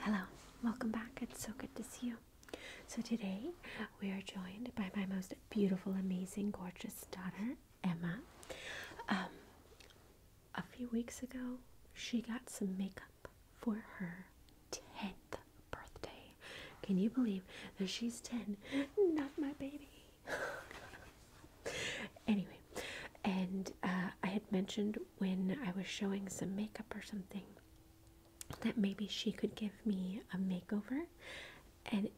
Hello, welcome back. It's so good to see you. So, today we are joined by my most beautiful, amazing, gorgeous daughter, Emma. Um, a few weeks ago, she got some makeup for her 10th birthday. Can you believe that she's 10? Not my baby. anyway, and uh, I had mentioned when I was showing some makeup or something that maybe she could give me a makeover. And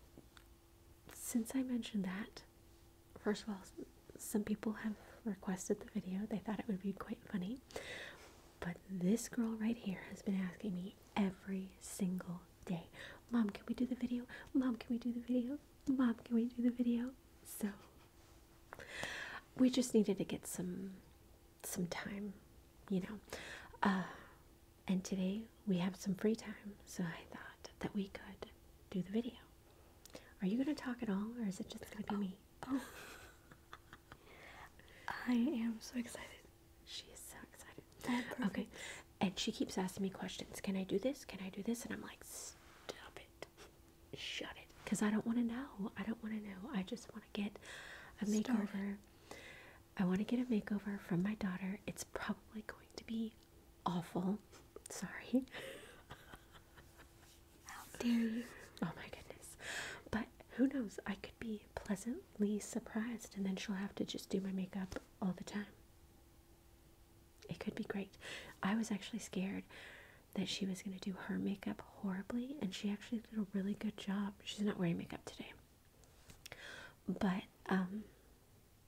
since I mentioned that, first of all, some people have requested the video, they thought it would be quite funny. But this girl right here has been asking me every single day, Mom, can we do the video? Mom, can we do the video? Mom, can we do the video? So we just needed to get some some time, you know. Uh, and today we have some free time, so I thought that we could do the video. Are you gonna talk at all, or is it just gonna be me? Oh, I am so excited. She is so excited. okay, and she keeps asking me questions can i do this can i do this and i'm like stop it shut it because i don't want to know i don't want to know i just want to get a makeover i want to get a makeover from my daughter it's probably going to be awful sorry how dare you oh my goodness but who knows i could be pleasantly surprised and then she'll have to just do my makeup all the time it could be great. I was actually scared that she was going to do her makeup horribly, and she actually did a really good job. She's not wearing makeup today, but um,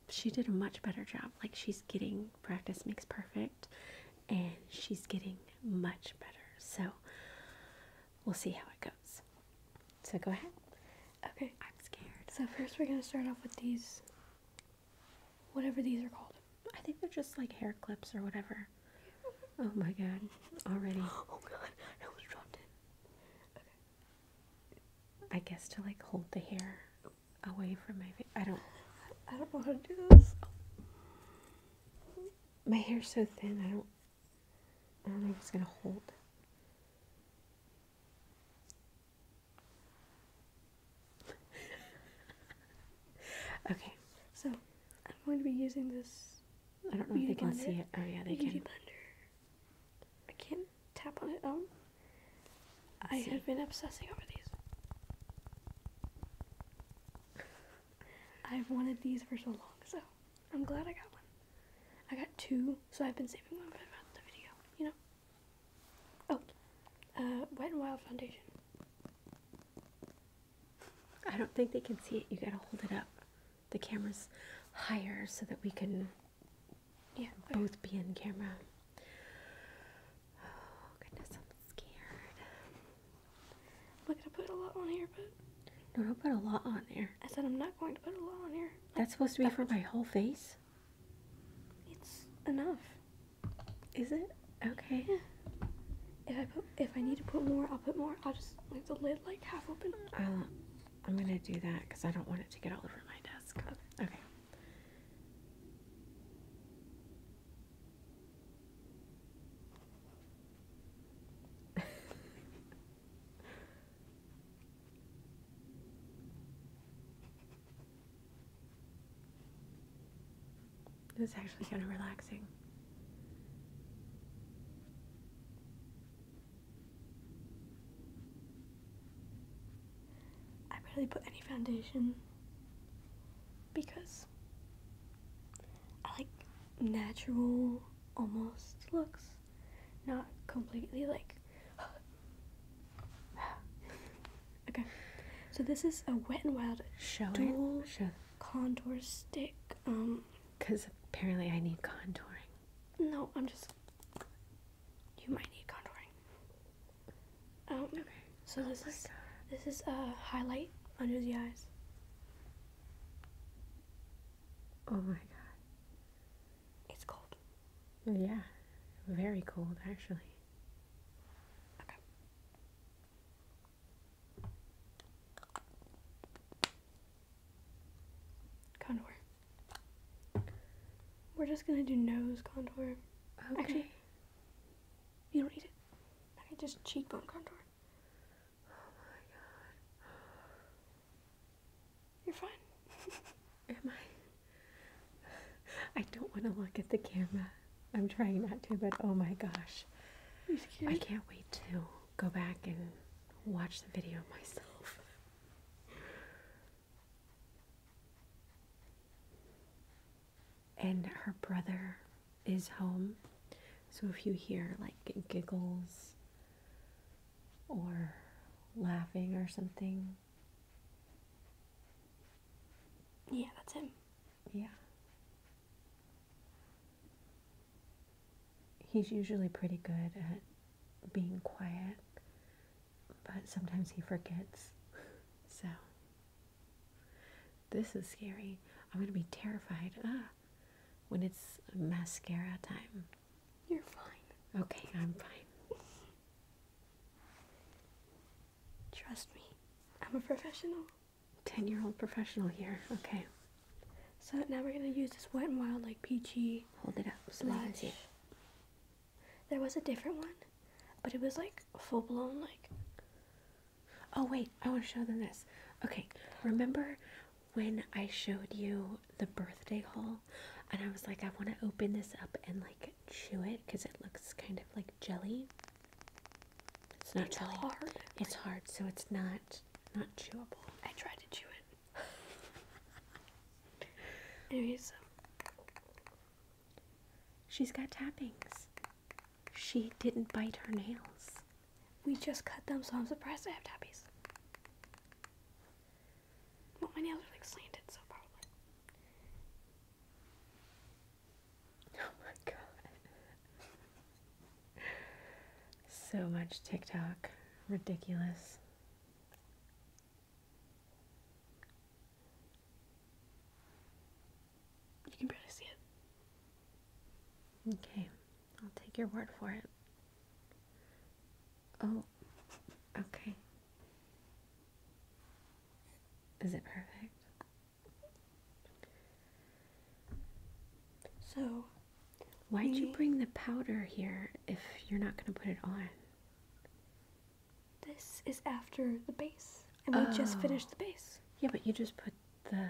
she did a much better job. Like, she's getting practice makes perfect, and she's getting much better. So, we'll see how it goes. So, go ahead. Okay. I'm scared. So, first, we're going to start off with these whatever these are called. I think they're just like hair clips or whatever. Oh my god, already. Oh god, I almost dropped it. I guess to like hold the hair away from my face. I don't. I don't know to do this. My hair's so thin. I don't. I don't know if it's gonna hold okay, so I'm going to be using this. I don't know if they can see it. Oh yeah, they can. blender. I can't tap on it. Oh. I have been obsessing over these. I've wanted these for so long, so I'm glad I got one. I got two, so I've been saving one for the video. You know. Oh, uh, Wet n Wild foundation. I don't think they can see it. You gotta hold it up. The camera's higher so that we can yeah, both be in camera. Oh, goodness, I'm scared. I'm not gonna put a lot on here, but. No, don't put a lot on there. I said I'm not going to put a lot on here. That's supposed to be for my whole face? It's enough. Is it? Okay. If I put, if I need to put more, I'll put more. I'll just leave the lid like half open. Uh, i am gonna do that because I don't want it to get all over my desk. okay. It's actually kind of relaxing. I barely put any foundation because I like natural almost looks, not completely like okay. So this is a Wet n Wild dual Show. contour stick. Um. Because apparently I need contouring. No, I'm just. You might need contouring. Um. Okay. So oh this is this is a highlight under the eyes. Oh my God. It's cold. Yeah, very cold actually. Contour. We're just gonna do nose contour. Okay. you read not need it. Okay, just cheekbone contour. Oh you're fine. Am I? I don't want to look at the camera. I'm trying not to, but oh my gosh. I can't wait to go back and watch the video myself. And her brother is home. So if you hear like giggles or laughing or something, yeah, that's him. Yeah. He's usually pretty good at being quiet, but sometimes he forgets. So, this is scary. I'm going to be terrified. Ah, when it's mascara time. You're fine. Okay, I'm fine. Trust me, I'm a professional. 10 year old professional here. Okay. So now we're gonna use this Wet n Wild like peachy. Hold it up There was a different one, but it was like full blown like. Oh wait, I want to show them this. Okay, remember when I showed you the birthday haul and I was like I want to open this up and like chew it because it looks kind of like jelly. It's not it's hard. It's hard so it's not not chewable. I tried to chew it. Um, She's got tappings. She didn't bite her nails. We just cut them so I'm surprised I have tappies. Well, my nails are like slanted, so probably. Oh my god. so much TikTok. Ridiculous. You can barely see it. Okay, I'll take your word for it. Oh, okay. Is it perfect? So, why'd you bring the powder here if you're not going to put it on? This is after the base. And we just oh. finished the base. Yeah, but you just put the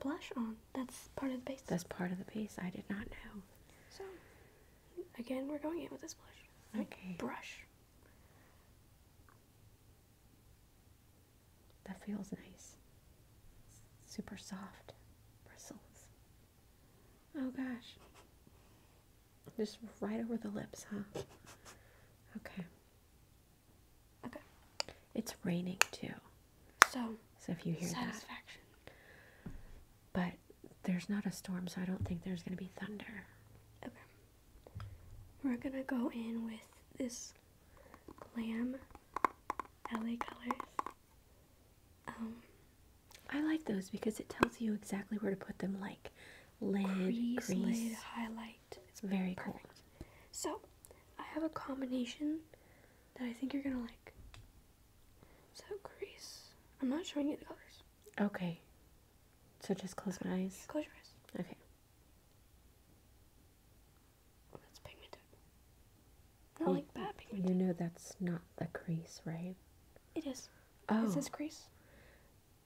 blush on. That's part of the base. That's part of the base. I did not know. So, Again, we're going in with this blush. Okay. Brush. That feels nice. Super soft bristles. Oh gosh. Just right over the lips, huh? Okay. Okay. It's raining too. So, so if you hear satisfaction. that but there's not a storm, so I don't think there's going to be thunder. Okay. We're going to go in with this Glam LA Colors. Um, I like those because it tells you exactly where to put them, like lid, lid, highlight. It's very perfect. cool. So, I have a combination that I think you're going to like. So crease. I'm not showing you the colors. Okay. So just close my eyes. Close your eyes. Okay. That's pigmented. Not like bad pigmented. You know that's not the crease, right? It is. Oh. Is this crease.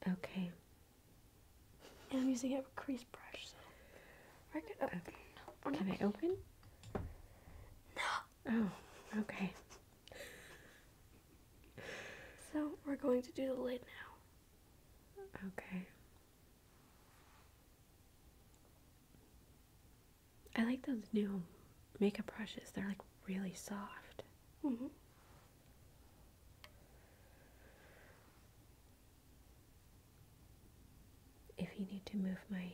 Okay. And I'm using a crease brush, so. Can I open? No. Oh, okay. So we're going to do the lid now. Okay. I like those new makeup brushes. They're like really soft. Mm-hmm. If you need to move my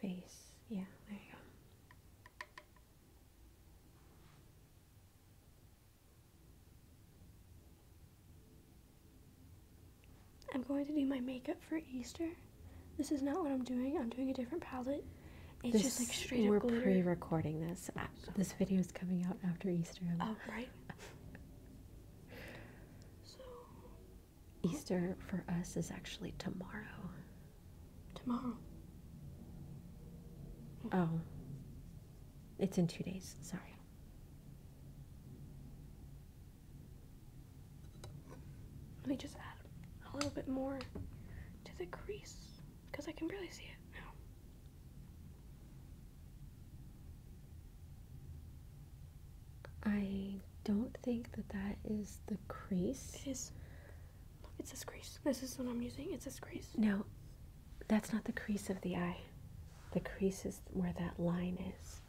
face. Yeah, there you go. I'm going to do my makeup for Easter. This is not what I'm doing. I'm doing a different palette. It's just like straight we're up We're pre-recording this. Uh, this video is coming out after Easter. Oh, right. Easter for us is actually tomorrow. Tomorrow. Oh. It's in two days. Sorry. Let me just add a little bit more to the crease because I can barely see it. I don't think that that is the crease. It is. Look, it crease. This is what I'm using. It's a crease. No, that's not the crease of the eye. The crease is where that line is.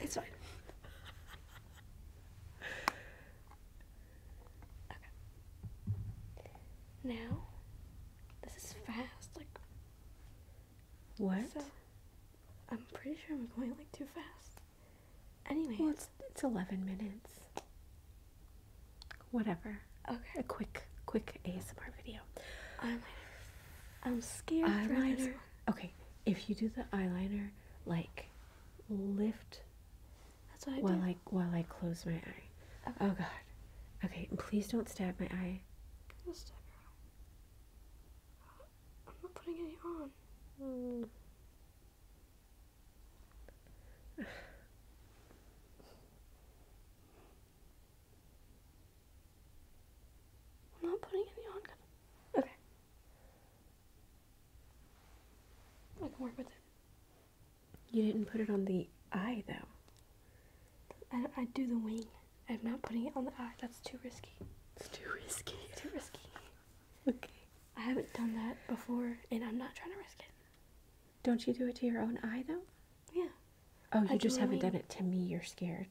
It's fine. okay. Now, this is fast. Like, what? I'm pretty sure I'm going like too fast. Anyway, it's it's eleven minutes. Whatever. Okay. A quick quick ASMR video. Eyeliner. I'm scared. Eyeliner. Okay, if you do the eyeliner, like lift. That's what I while I while I close my eye. Oh God. Okay, please don't stab my eye. I'm not putting any on. Hmm. I'm not putting any on. Okay. I can work with it. You didn't put it on the eye, though. I, I do the wing. I'm not putting it on the eye. That's too risky. It's too risky. too risky. okay. I haven't done that before, and I'm not trying to risk it. Don't you do it to your own eye though? Yeah. Oh, you just haven't done it to me. You're scared.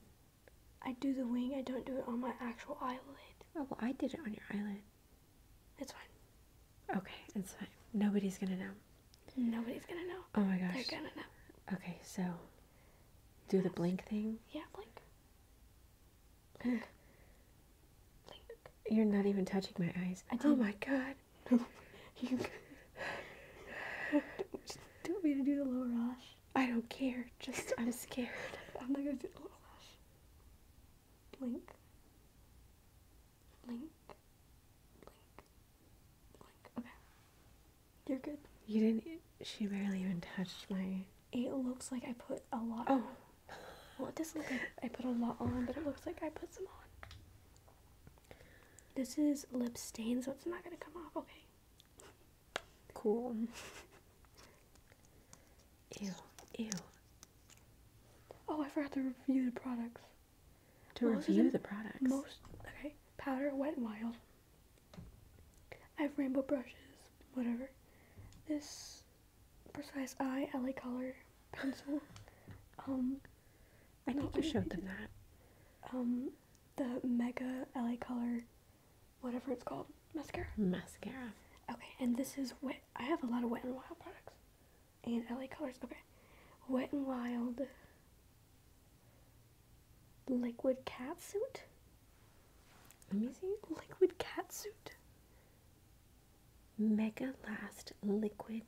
I do the wing. I don't do it on my actual eyelid. Oh well, I did it on your eyelid. It's fine. Okay, it's fine. Nobody's gonna know. Nobody's gonna know. Oh my gosh. They're gonna know. Okay, so do the blink thing? Yeah, blink. Blink. You're not even touching my eyes. I oh did. Oh my god. No. you just do me to do the lower lash. I don't care. Just I'm scared. I'm not gonna do the lower lash. Blink. Blink. Blink. Blink. Okay. You're good. You didn't. She barely even touched my. It looks like I put a lot. Oh. Well, it doesn't look like I put a lot on, but it looks like I put some on. This is lip stain, so it's not gonna come off. Okay. Cool. ew. Ew. Oh, I forgot to review the products. To review the, products. Most okay. Powder went Wild. I have rainbow brushes, whatever. This precise eye, LA color pencil. Um, I think you showed them that. Um, the Mega LA color, whatever it's called, mascara. Mascara. Okay, and this is wet. I have a lot of Wet and Wild products, and LA colors. Okay, Wet and Wild Liquid cat suit? Let me see. Liquid cat suit. Mega Last Liquid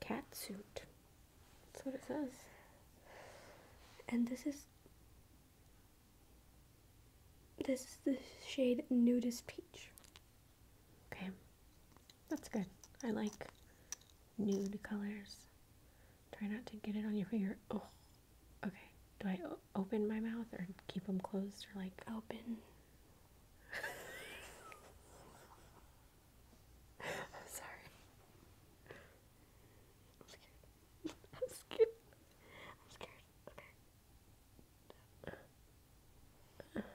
Cat Suit. That's what it says. And this is this is the shade Nudist Peach. Okay. That's good. I like nude colors. Try not to get it on your finger. Oh, okay. Do I open my mouth or keep them closed or like open? I'm sorry. I'm scared. I'm scared. I'm scared. Okay.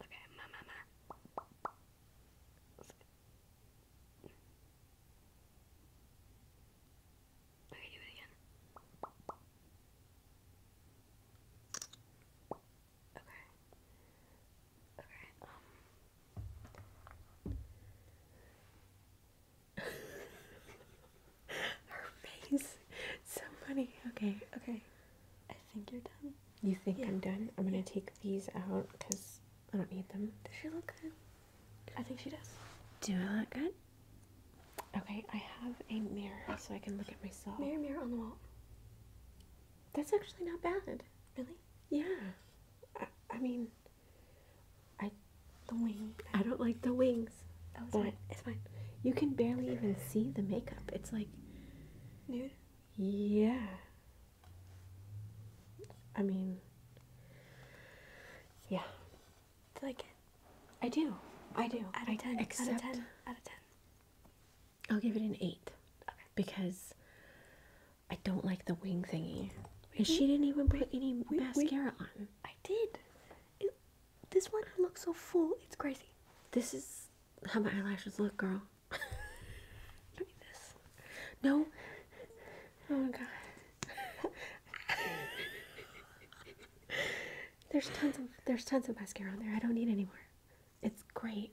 Okay, ma ma Okay, do it again. Okay. Okay, um. So funny. Okay, okay. I think you're done. You think I'm done? I'm gonna take these out because I don't need them. Does she look good? I think she does. Do I look good? Okay, I have a mirror so I can look at myself. Mirror, mirror on the wall. That's actually not bad. Really? Yeah. I, I mean, I the wing. I don't like the wings. Oh, it's fine. It's fine. You can barely even see the makeup. It's like nude. Yeah. I mean, yeah. it's like I do. I do. Out of 10. Except out of 10. Out of 10. I'll give it an 8. Because I don't like the wing thingy. And she didn't even put any mascara on. I did. this one looks so full. It's crazy. This is how my eyelashes look, girl. Give me this. No. Oh my god. there's tons of there's tons of mascara on there. I don't need any more. It's great.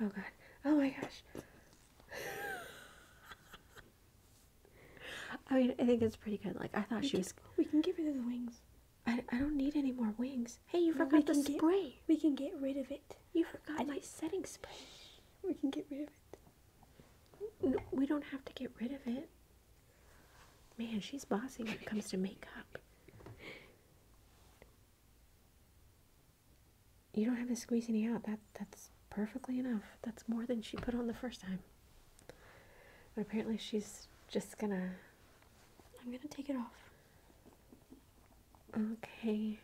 Oh god. Oh my gosh. I mean, I think it's pretty good. Like I thought she was. We can give her the wings. I, I don't need any more wings. Hey, you well, forgot the spray. we can get rid of it. You forgot my setting spray. We can get rid of it. No, we don't have to get rid of it. Man, she's bossy when it comes to makeup. You don't have to squeeze any out. That that's perfectly enough. That's more than she put on the first time. But apparently she's just gonna I'm gonna take it off. Okay.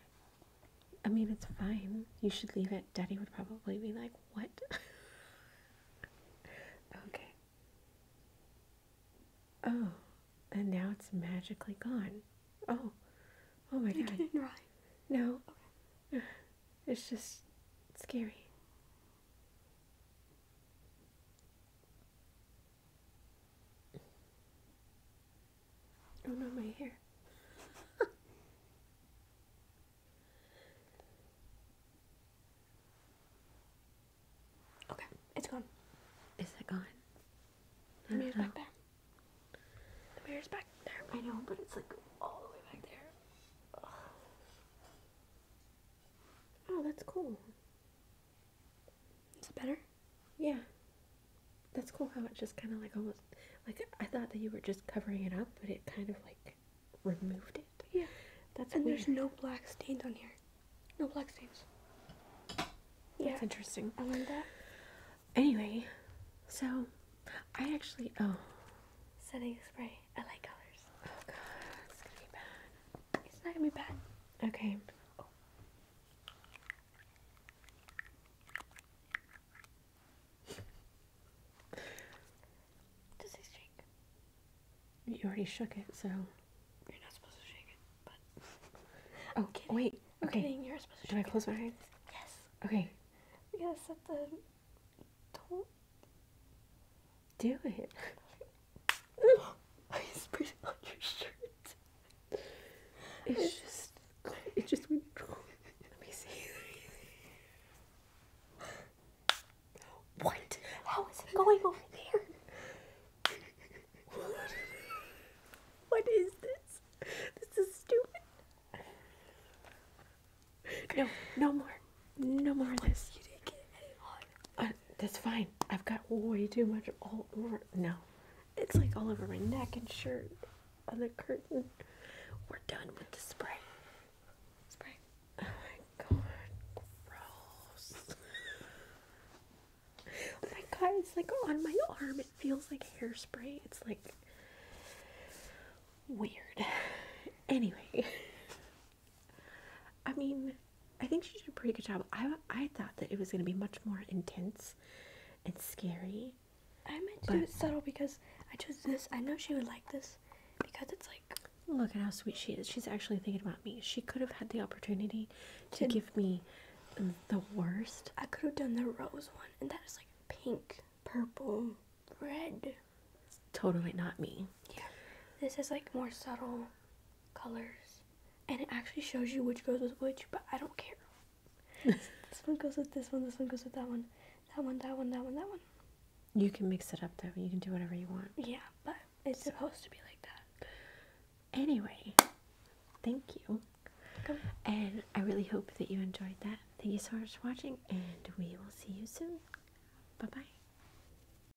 I mean, it's fine. You should leave it. Daddy would probably be like, What? okay. Oh, and now it's magically gone. Oh, oh my god! god. Didn't rhyme. No. It's just scary. Oh no, my hair. okay, it's gone. Is it gone? The mirror's know. back there. The mirror's back there. I know, but it's like all the way back there. Oh, that's cool. Is it better? Yeah. That's cool how it just kind of like almost like I thought that you were just covering it up, but it kind of like removed it. Yeah. That's and there's no black stains on here. No black stains. Yeah. That's interesting. I learned that. Anyway, so I actually oh setting spray. I like colors. Oh god, it's gonna be bad. It's not gonna be bad. Okay. Does it shake? You already shook it, so. You're not supposed to shake it, but. oh, wait. Okay. Kidding. You're supposed to Do I close my eyes? Yes. Okay. We gotta set the. Don't do it. I sprayed it on your shirt. It's just, it just went. Let me see. What? How is it going over there? What? what is this? This is stupid. No, no more. No more of this. You didn't get any on. Uh, that's fine. I've got way too much all over now. It's like all over my neck and shirt on the curtain. We're done with the spray. Spray. Oh my god. Gross. oh my god, it's like on my arm. It feels like hairspray. It's like weird. Anyway, I mean, I think she did a pretty good job. I I thought that it was gonna be much more intense and scary. I meant to do it subtle because I chose this. I know she would like this because it's like. Look at how sweet she is. She's actually thinking about me. She could have had the opportunity to, give me the worst. I could have done the rose one, and that is like pink, purple, red. totally not me. Yeah. This is like more subtle colors and it actually shows you which goes with which, but I don't care. this one goes with this one, this one goes with that one, that one, that one, that one, that one. You can mix it up though. You can do whatever you want. Yeah, but it's supposed to be like that. Anyway, thank you. And I really hope that you enjoyed that. Thank you so much for watching, and we will see you soon. Bye bye.